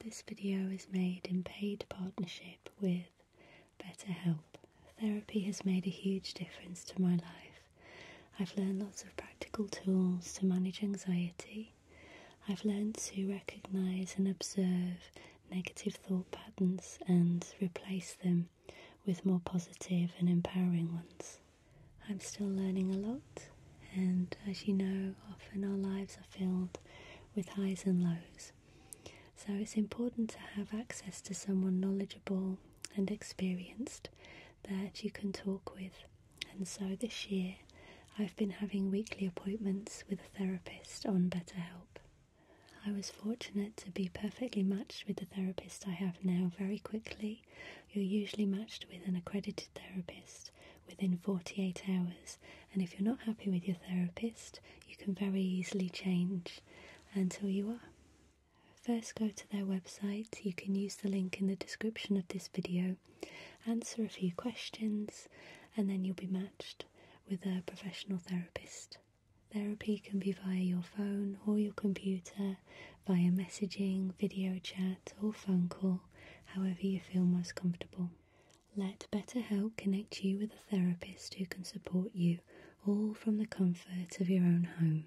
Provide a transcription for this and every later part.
This video is made in paid partnership with BetterHelp. Therapy has made a huge difference to my life. I've learned lots of practical tools to manage anxiety. I've learned to recognize and observe negative thought patterns and replace them with more positive and empowering ones. I'm still learning a lot, and as you know, often our lives are filled with highs and lows. So it's important to have access to someone knowledgeable and experienced that you can talk with and so this year, I've been having weekly appointments with a therapist on BetterHelp. I was fortunate to be perfectly matched with the therapist I have now very quickly. You're usually matched with an accredited therapist within 48 hours, and if you're not happy with your therapist, you can very easily change until you are. First go to their website, you can use the link in the description of this video, answer a few questions and then you'll be matched with a professional therapist. Therapy can be via your phone or your computer, via messaging, video chat or phone call, however you feel most comfortable. Let Better Help connect you with a therapist who can support you, all from the comfort of your own home.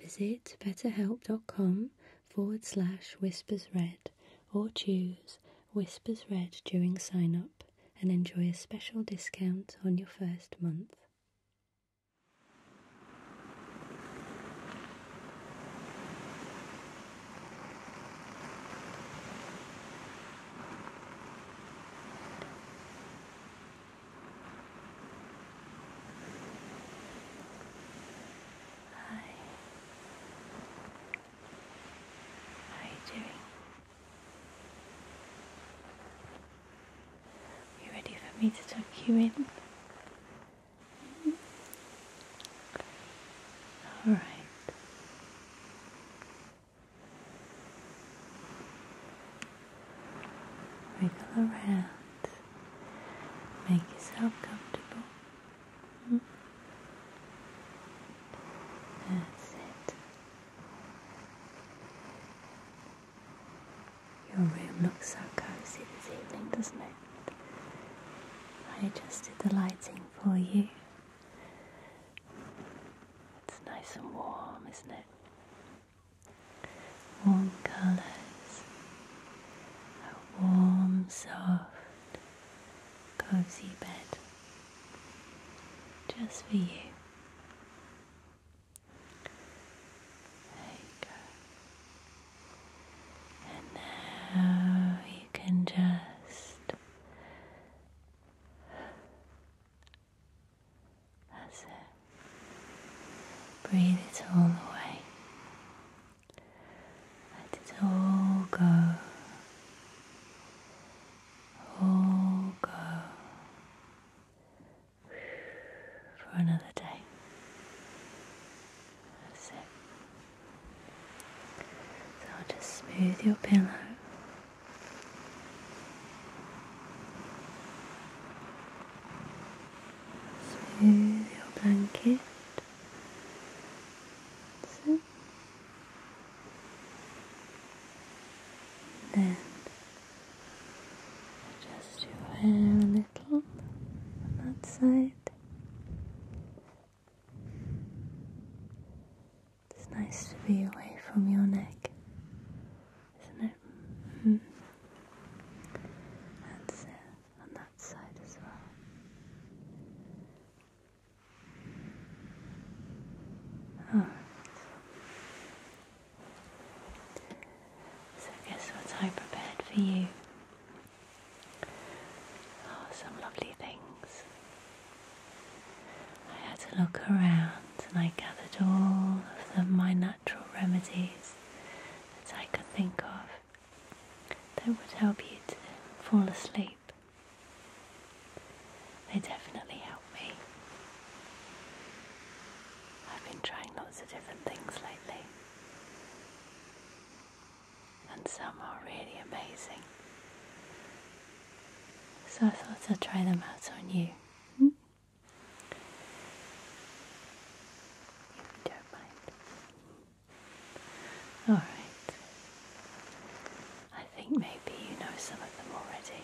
Visit betterhelp.com forward slash whispersred or choose Whispers Red during sign up and enjoy a special discount on your first month. Hi. How are you doing? You ready for me to tuck you in? All right. Wiggle around. Make yourself comfortable. Mm-hmm. That's it. Your room looks so cozy this evening, doesn't it? I adjusted the lighting for you. It's nice and warm, isn't it? warm colours, a warm, soft, cosy bed just for you. There you go. And now you can just that's it. Breathe it all away. Let it all go. All go for another day. That's it. So I'll just smooth your pillow. Smooth your blanket. So. Then adjust your hair a little on that side. It's nice to be away from your neck, isn't it? Mm -hmm. it on that side as well. Oh. So guess what I prepared for you? Oh, some lovely things. I had to look around and I gathered all of my natural remedies that I could think of that would help you to fall asleep. They definitely help me. I've been trying lots of different things lately, and some are really amazing. So I thought I'd try them out on you. Hmm? don't mind. Alright. I think maybe you know some of them already.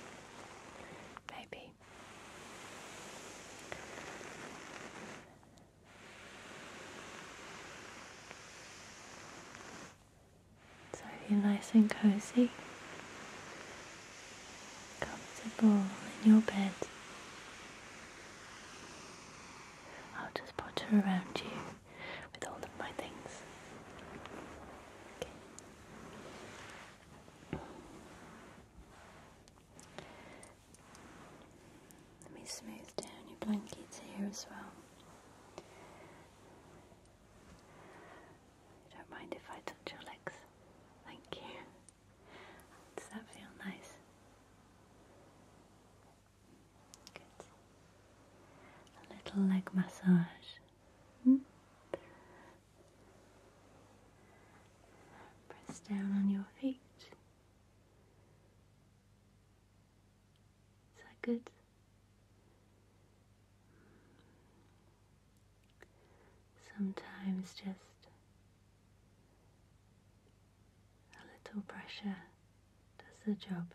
Maybe. So you're nice and cozy, comfortable in your bed, I'll just potter around you with all of my things. Let me smooth down your blankets here as well. You don't mind if I touch your legs? Thank you. Does that feel nice? Good. A little leg massage. Hmm? Press down on your feet. Is that good? Sometimes just a little pressure does the job.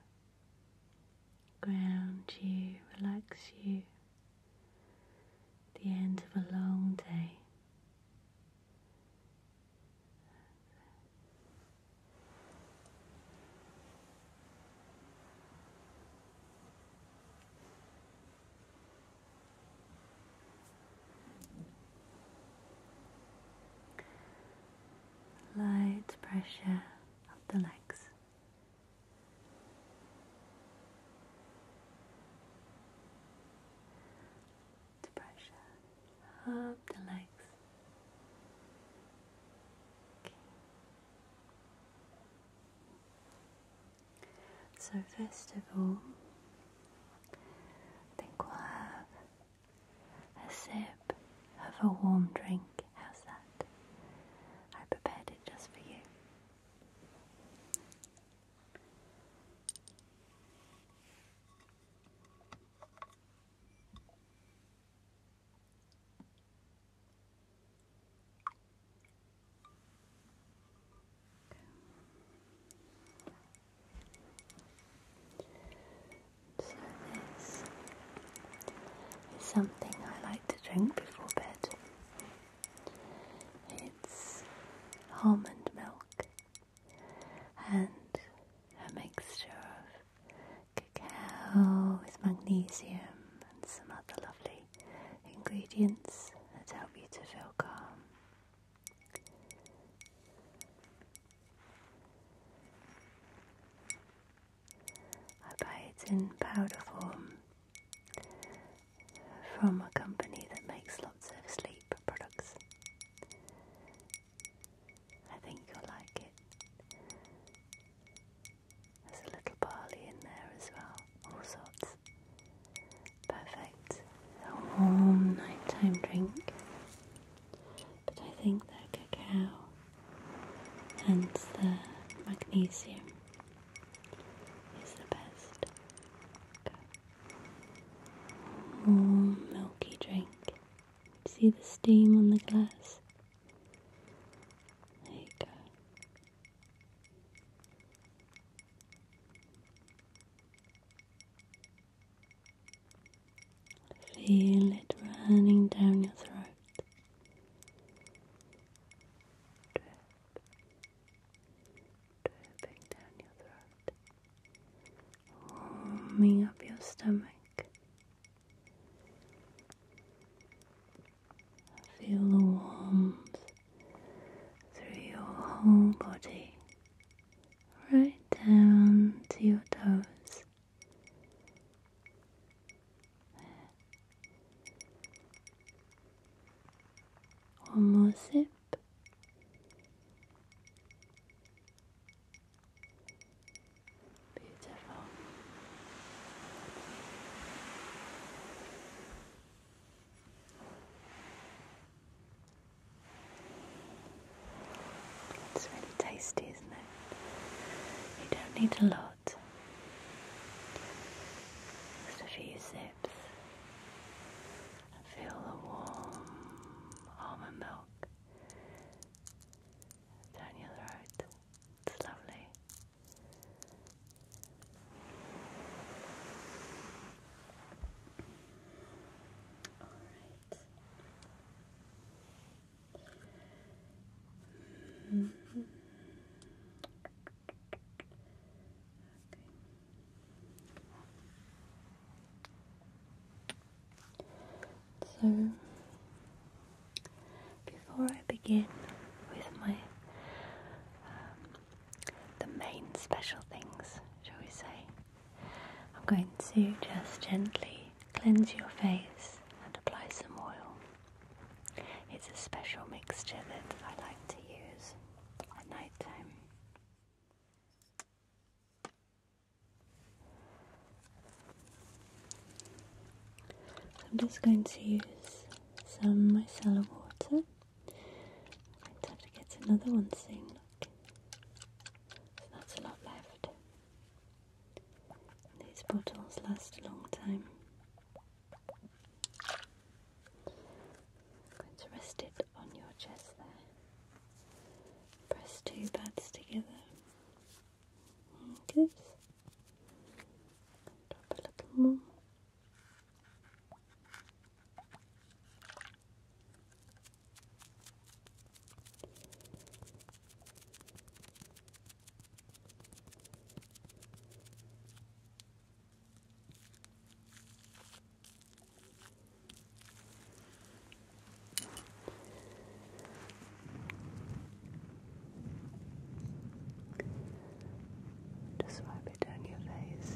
Ground you, relax you. the end of a long day. Light pressure of the legs. pressure of the legs. So, first of all, I think we'll have a sip of a warm drink. How's that? I prepared it just for you. So this is something I like to drink before bed. It's almond milk and a mixture of cacao with magnesium and some other lovely ingredients that help you to feel calm. Abides in powder form from a company that makes lots of sleep products. I think you'll like it. There's a little barley in there as well, all sorts. Perfect. A warm nighttime drink. But I think the cacao and the magnesium is the best. Warm milky drink. See the steam on the glass? There you go. Feel it running down your throat. dripping down your throat. Warming up your stomach. Feel the warmth through your whole body right down to your toes. One more sip. Beautiful. It's really tasty, isn't it? You don't need a lot, just a few sips, and feel the warm almond milk down your throat. It's lovely. Alright. So before I begin with my um, the main special things, shall we say? I'm going to just gently cleanse your face and apply some oil. It's a special mixture that I like to use at night time. I'm just going to use some micellar water. I'm going to get another one soon, look. So that's a lot left. These bottles last a long time. going to rest it on your chest there. Press two pads together. Good. Drop a little more. Just wipe it down your face.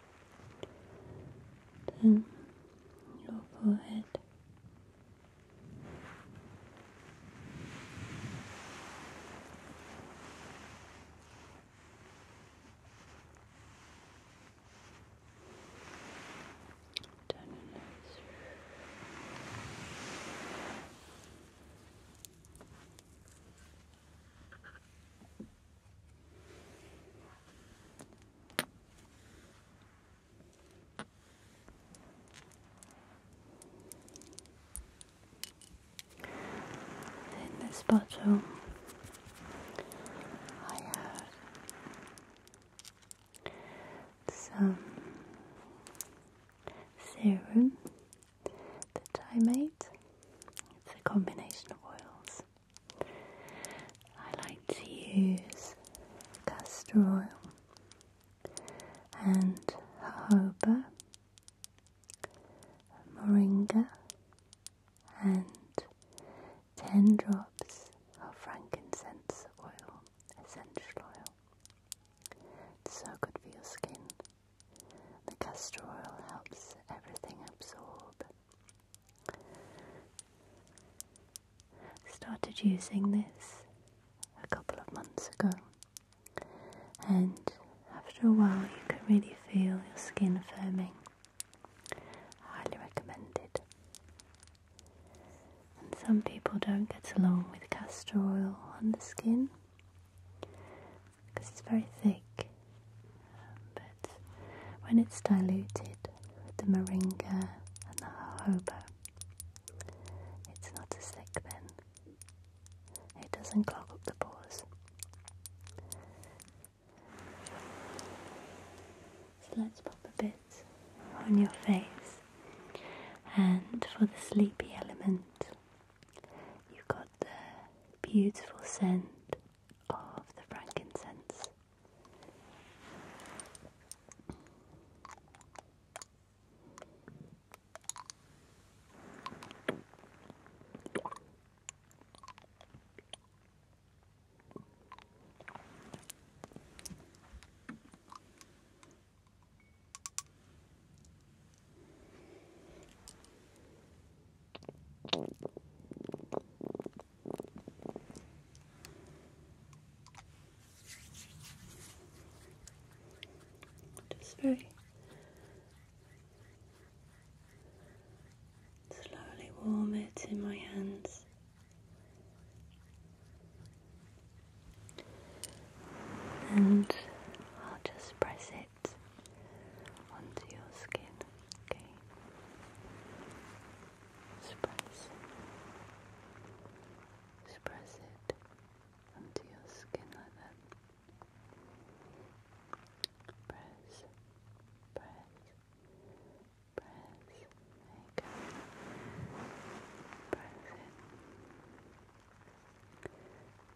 Then your forehead. Down your nose. In this bottle, I have some serum that I made. It's a combination of oils. I like to use castor oil and jojoba, moringa, and 10 drops of frankincense oil, essential oil. It's so good for your skin. The castor oil helps everything absorb Started using this a couple of months ago, and after a while, you can really feel your skin firming. Highly recommended. And some people don't get along with castor oil on the skin, because it's very thick. but when it's diluted with the moringa and the jojoba, it's not as thick then. It doesn't clog up the pores. So let's pop a bit on your face. And for the sleepy element, you've got the beautiful scent of the frankincense. Just very slowly warm it in my hands. And I'll just press it onto your skin. Okay. Express. Express it onto your skin like that. Press, press, press. There Press it.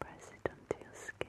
Press it onto your skin.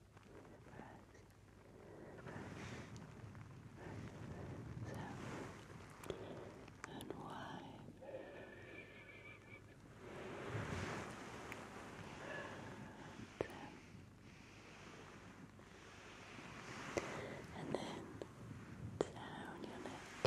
and wide. And then down your neck.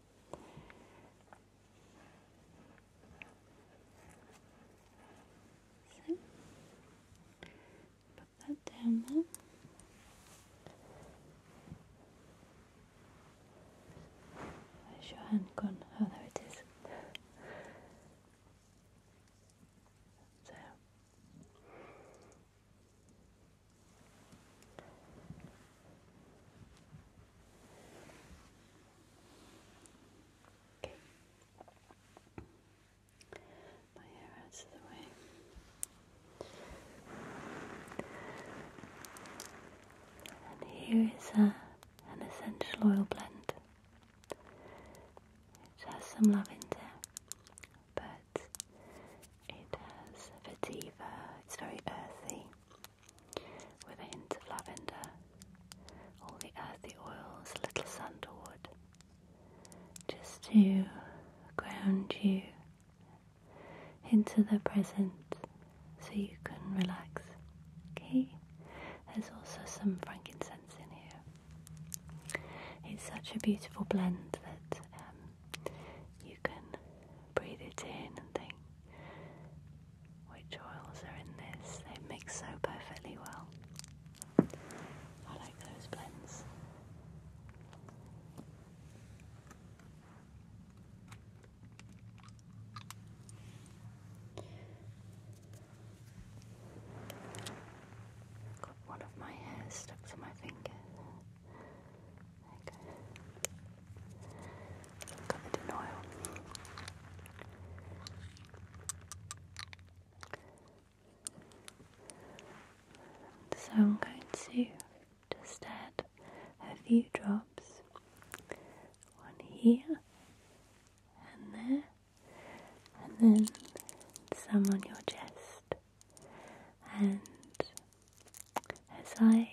So, put that down Where's your hand gone? Oh, there it is. so, Okay. My hair out of the way. And here is a, an essential oil blend. which has some lavender, but it has vetiver. It's very earthy with a hint of lavender, all the earthy oils, a little sandalwood, just to ground you into the present so you can relax. Okay? There's also some frankincense in here. It's such a beautiful blend that um, you can breathe it in and think which oils are in this. They mix so perfectly well. I like those blends. Got one of my hairs stuck to my finger. So I'm going to just add a few drops, one here and there, and then some on your chest. And as I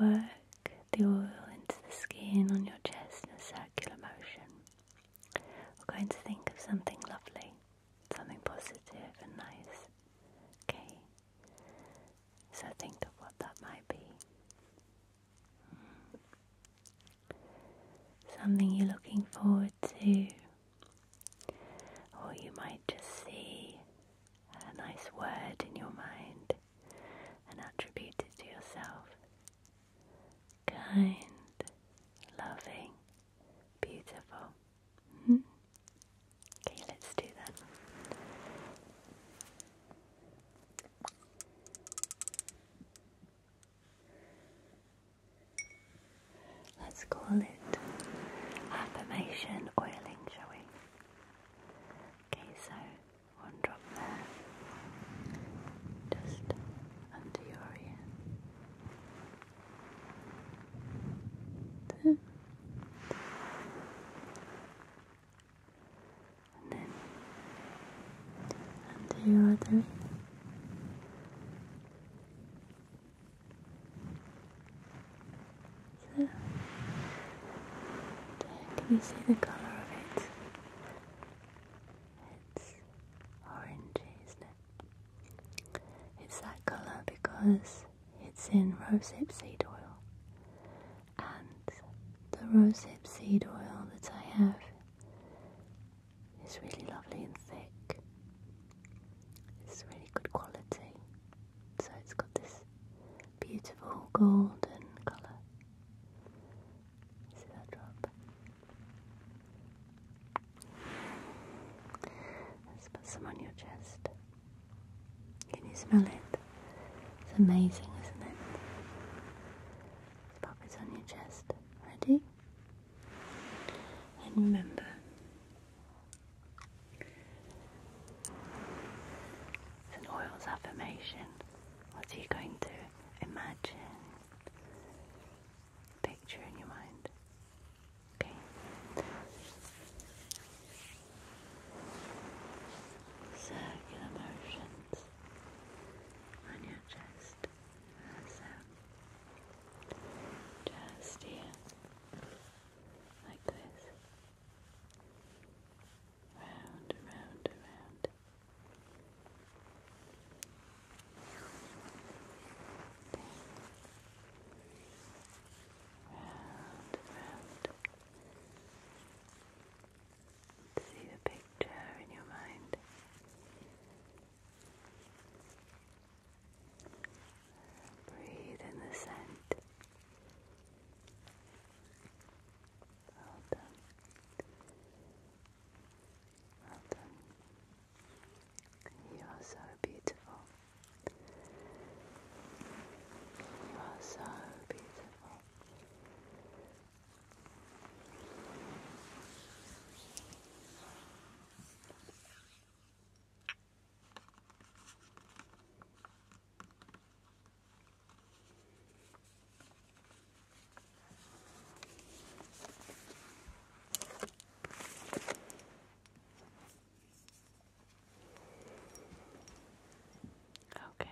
Work the oil into the skin on your chest in a circular motion. We're going to think of something lovely, something positive and nice. Okay? So think of what that might be. Mm. Something you're looking forward to, or you might just see a nice word in your mind and attribute it to yourself. Kind, loving, beautiful. Hmm? Okay, let's do that. Let's call it affirmation oiling, shall we? Okay, so one drop there, just under your ear. And then under your other ear. So, can you see the colour of it? It's orangey, isn't it? It's that colour because it's in rosehip seed oil, and the rosehip seed oil that I have is really lovely and thick. It's really good quality. So it's got this beautiful golden colour. See that drop? Let's put some on your chest. Can you smell it? It's amazing, isn't it? pop it on your chest. Ready? And remember, St. Oil's affirmation. What are you going to imagine? Picture in your mind. Okay. Circular motions on your chest. That's Just here. Like this round, round, around. Round, round. See the picture in your mind. Breathe in the scent. Well done. Well done. You are so beautiful. You are so beautiful. Okay.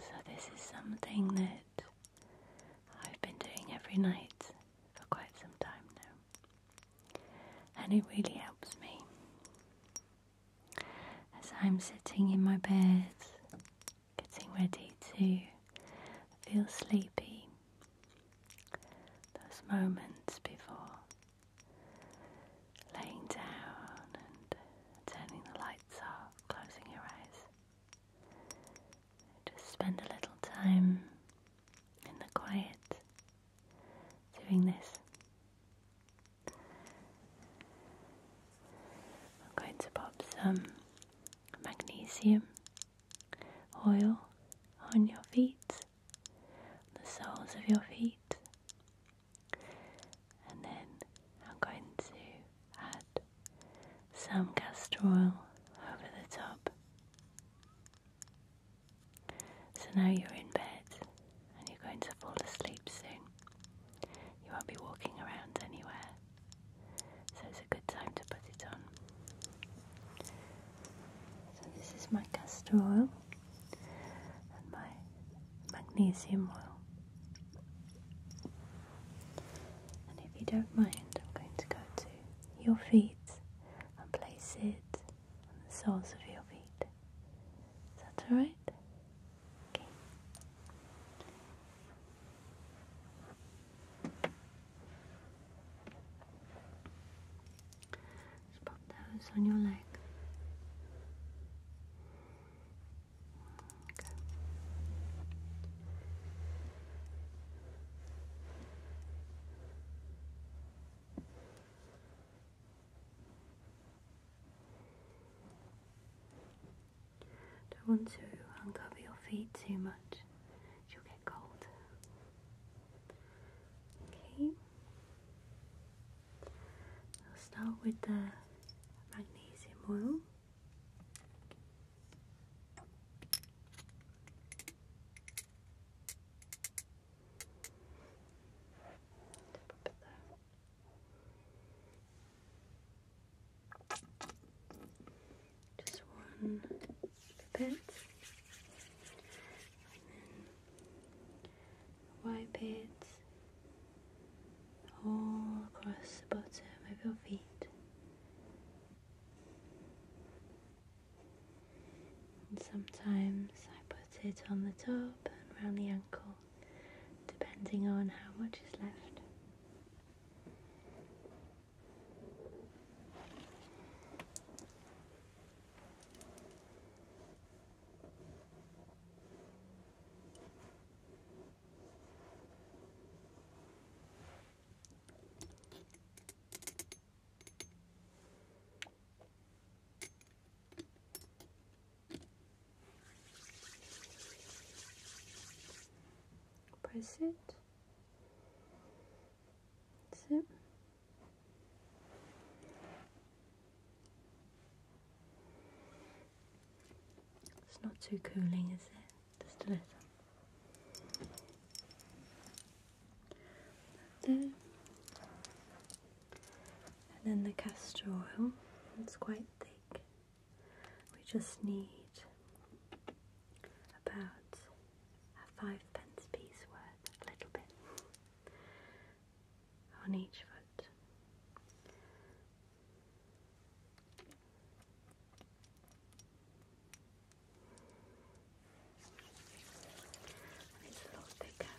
So, this is something that I've been doing every night for quite some time now and it really helps me. As I'm sitting in my bed, getting ready to feel sleepy, those moments before laying down and turning the lights off, closing your eyes, just spend a little time in the quiet doing this. I'm going to pop some magnesium oil on your feet, the soles of your feet, and then I'm going to add some castor oil over the top. So now you're in bed and you're going to fall asleep soon. You won't be walking around anywhere, so it's a good time to put it on. So, this is my castor oil and my magnesium oil. And if you don't mind, I'm going to go to your feet and place it on the soles of your feet. Is that alright? Okay. Just pop those on your leg. Okay. Don't want to uncover your feet too much, you'll get cold. Okay, I'll start with the magnesium oil. Just one pipette, and then wipe it all across the bottom of your feet. And sometimes I put it on the top and around the ankle, depending on how much is left. Press it. That's It's not too cooling, is it? Just a little there. And then the castor oil, it's quite thick. We just need about a five pence piece worth, a little bit, on each foot. It's a little thicker. press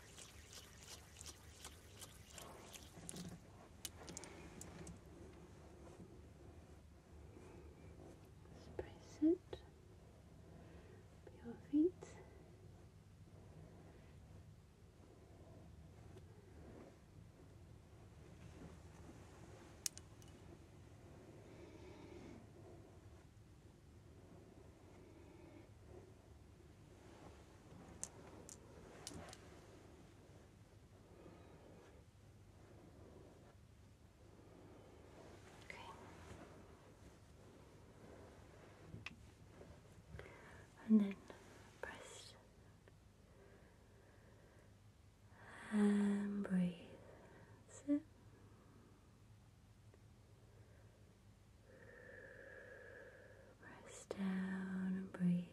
it your feet. Okay. And then press and breathe. Sit. Rest down and breathe.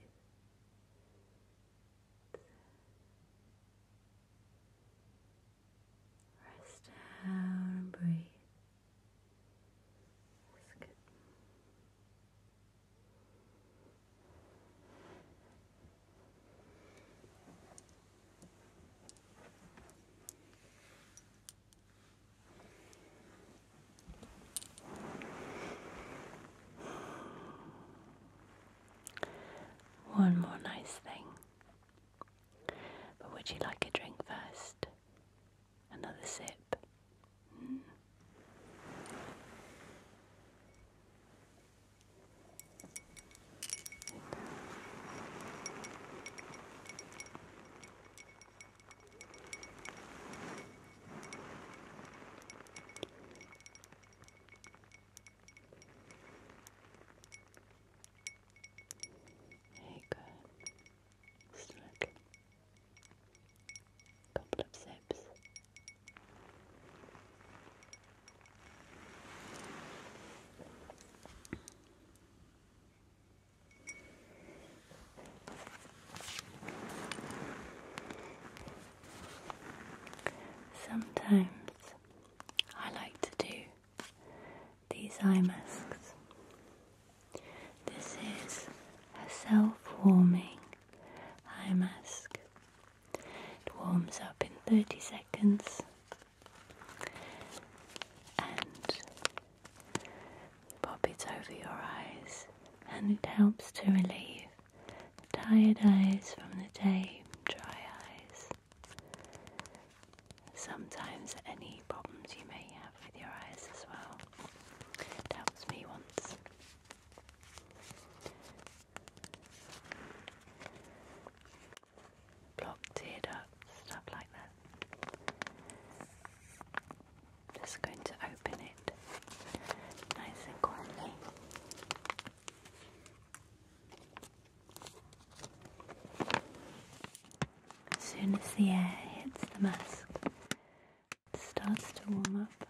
Press down and breathe. That's good. One more nice thing. But would you like a drink first? Another sip? Hmm. Hey, good. Slick. Couple of sips. Sometimes I like to do these eye masks. This is a self warming eye mask. It warms up in 30 seconds and pop it over your eyes, and it helps to relieve tired eyes from the day, dry eyes. Sometimes any problems you may have with your eyes as well. helps me once blocked it up, stuff like that. Just going to open it nice and quietly. As soon as the air hits the mask, it starts to warm up.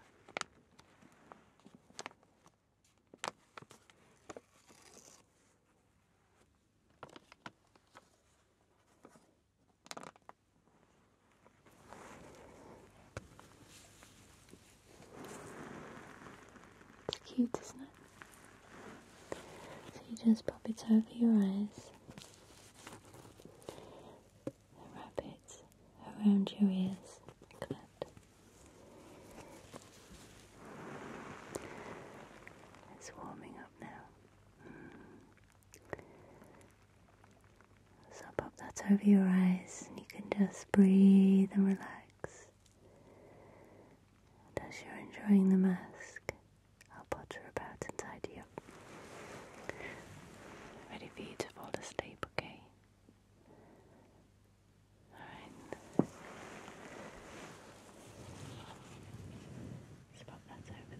It's cute, isn't it? So you just pop it over your eyes wrap it around your ears like that. It's warming up now. Mm. So pop that over your eyes and you can just breathe and relax. And as you're enjoying the mask, I'll potter about and tidy up. Ready for you to fall asleep, okay? Alright. let that over there.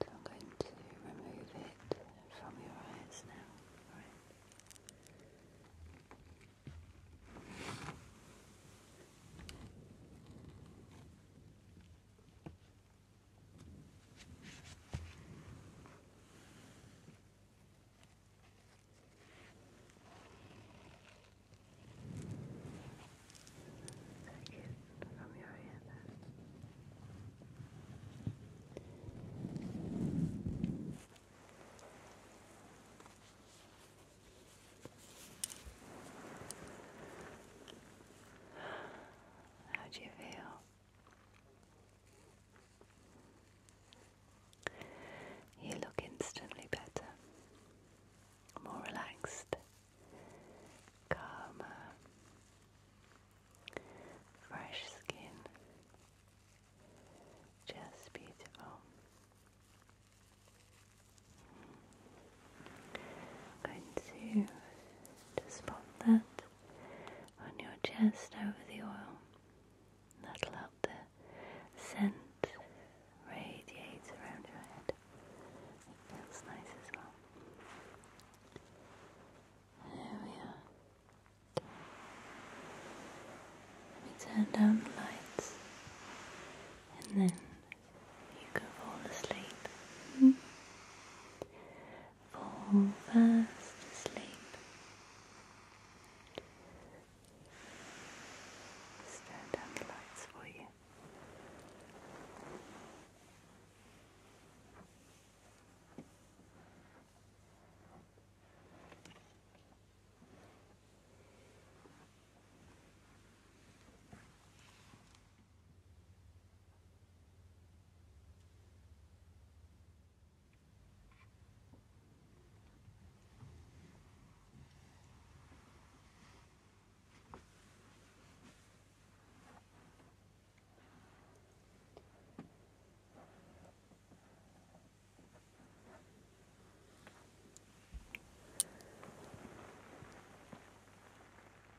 So I'm going to remove it from your eyes now. All right. Take it from your hand. How do you feel? You look instantly better, more relaxed, calmer, fresh skin, just beautiful. I'm going to just that on your chest over the oil. That'll help the scent radiate around your head. It feels nice as well. There we are. Let me turn down the lights and then you can fall asleep fall fast asleep. turn down the lights for you.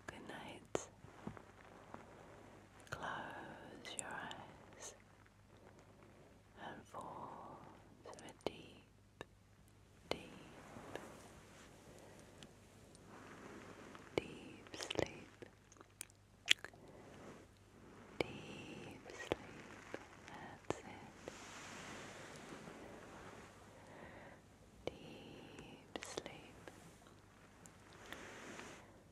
Good night. Close your eyes and fall to deep, deep, deep sleep. Deep sleep, that's it. Deep sleep.